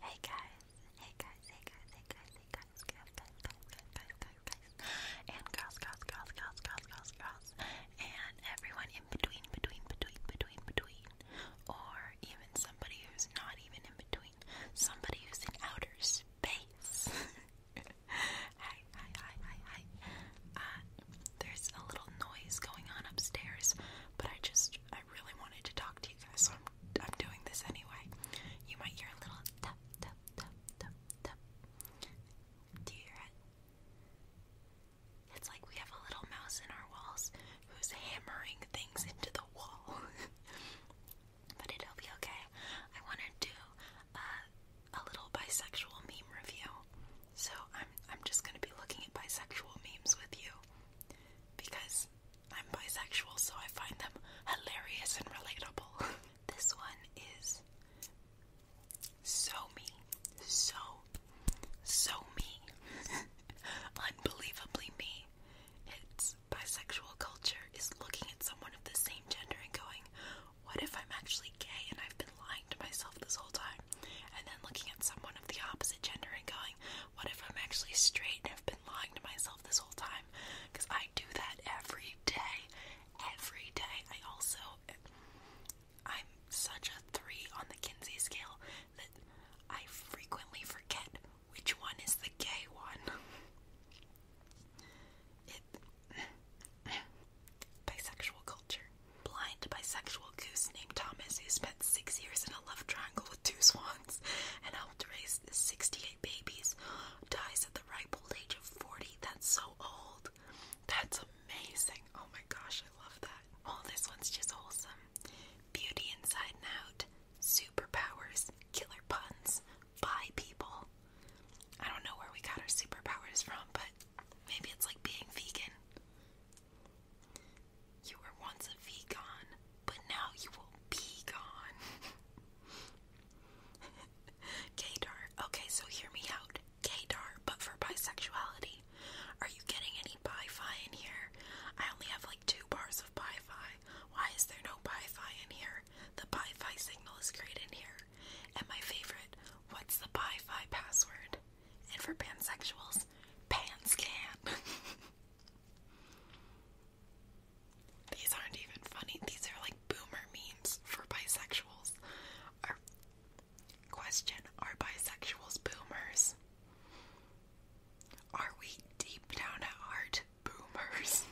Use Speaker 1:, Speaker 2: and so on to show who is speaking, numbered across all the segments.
Speaker 1: Hey guys, hey guys, hey guys, hey guys, hey guys, guys, guys, guys, guys, guys, guys, and girls, girls, girls, girls, girls, girls, girls, and everyone in between, between, between, between, between, or even somebody who's not even in between, somebody who's in outer space. hi, hi, hi, hi, hi. Uh, there's a little noise going on upstairs, but I just, I really wanted to talk to you guys, so I'm, doing this anyway. You might hear a little tap, tap, tap, tap, tap. Do you hear it? It's like we have a little mouse in our walls who's hammering things into the wall. but it'll be okay. I want to do a little bisexual meme review. So I'm I'm just gonna be looking at bisexual memes with you because I'm bisexual, so I find them hilarious and relatable. this one is so me, so so me, unbelievably me. It's bisexual culture is looking at someone of the same gender and going, "What if I'm actually gay and I've been lying to myself this whole time?" and then looking at someone of the opposite gender and going, what if I'm actually straight and i have been lying to myself this whole time? Because I do that every day. Every day. I also, I'm such a three on the Kinsey scale that I frequently forget which one is the gay one. Bisexual culture. Blind bisexual goose named Thomas, who spent six years in a love triangle with two swans and helped raise 68 babies, dies at the ripe old age of 40. That's so old. That's amazing. Oh my gosh, I love that. Oh, this one's just wholesome. Beauty inside and out. Superpowers. Killer puns. Bi people. I don't know where we got our superpowers from, but maybe it's like being vegan. You were once a vegan, but now you will be gone. Kadar. Okay, so hear me out. Kadar, but for bisexuality. Are you getting any bi-fi in here? I only have like two bars of bi-fi. Why is there no bi-fi in here? The Pi-Fi signal is created here. And my favorite, what's the Pi-Fi password? And for pansexuals, PANSCAN. These aren't even funny. These are like boomer memes for bisexuals. Are, question, are bisexuals boomers? Are we deep down at heart boomers.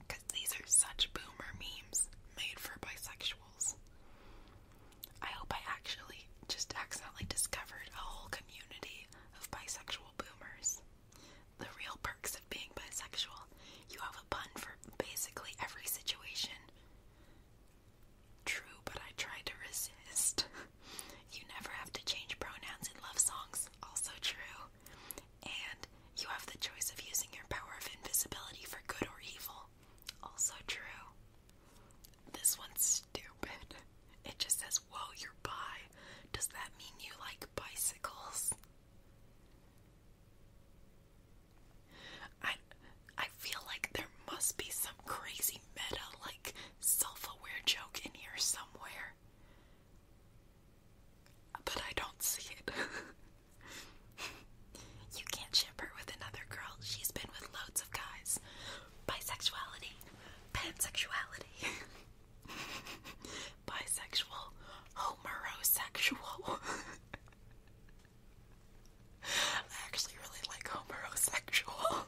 Speaker 1: Because these are such boomer memes made for bisexuals. I hope I actually just accidentally discovered a whole community of bisexual boomers. The real perks of being bisexual you have a pun for basically every situation. True, but I try to resist. you never have to change pronouns in love songs, also true and you have the choice of using your power of invisibility for good or evil. Also true. This one's stupid. It just says, Whoa, you're by." Does that mean you like bicycles? I I feel like there must be some crazy meta like self-aware joke in here somewhere. But I don't see it. you can't ship her with another girl. She's been with loads of guys. Bisexuality. Pansexuality. Bisexual. Homosexual. I actually really like homosexual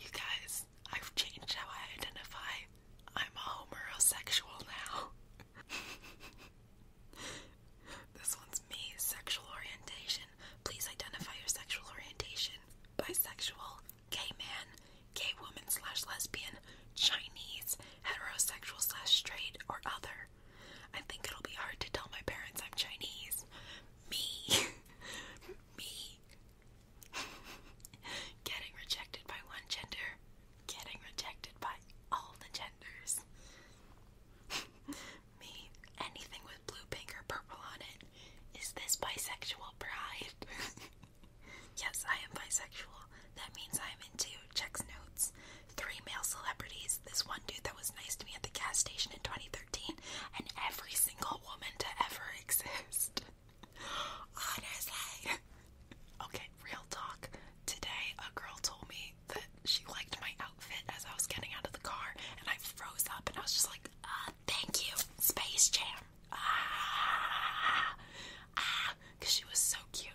Speaker 1: you guys, I've changed how I identify. I'm a homosexual now. this one's me, sexual orientation. Please identify your sexual orientation. Bisexual, gay man, gay woman slash lesbian, Chinese, heterosexual slash straight, or other. I think it'll be hard to tell my parents I'm Chinese. Me. Me. Getting rejected by one gender. Getting rejected by all the genders. Me. Anything with blue, pink, or purple on it. Is this bisexual pride? yes, I am bisexual. That means I'm into checks notes. Three male celebrities, this one dude that was nice to me at the gas station in 2013, and every single woman to ever exist. Honestly. Okay, real talk. Today, a girl told me that she liked my outfit as I was getting out of the car, and I froze up and I was just like, uh, thank you, Space Jam. Ah, ah, ah, because she was so cute.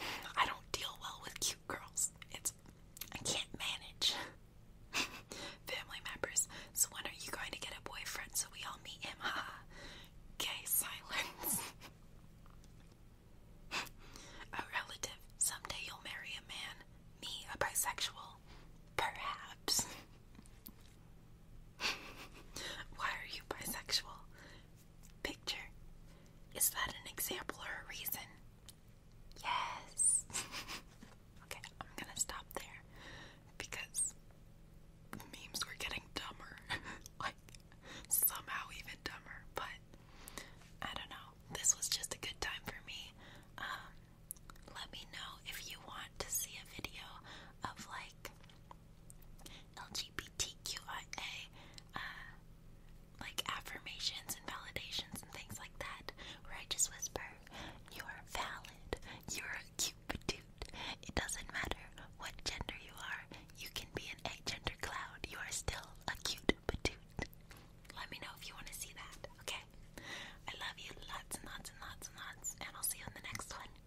Speaker 1: And I don't deal well with cute girls. It's I can't manage family members. So when are you going to get a boyfriend so we all meet him? Ha. Gay silence. a relative. Someday you'll marry a man. Me, a bisexual. Perhaps. Why are you bisexual? Picture. Is that an example or a reason? Yes. okay, I'm gonna stop there because memes were getting dumber. like, somehow even dumber. But, I don't know. This was just a good time for me. Um, let me know if you want to see a video of like LGBTQIA uh, like affirmations and validations and things like that, where I just whisper, "You are valid. You are a cute dude. It doesn't matter what gender you are. You can be an egg gender cloud. You are still a cute dude." Let me know if you want to see that. Okay, I love you lots and lots and lots and lots, and I'll see you in the next one.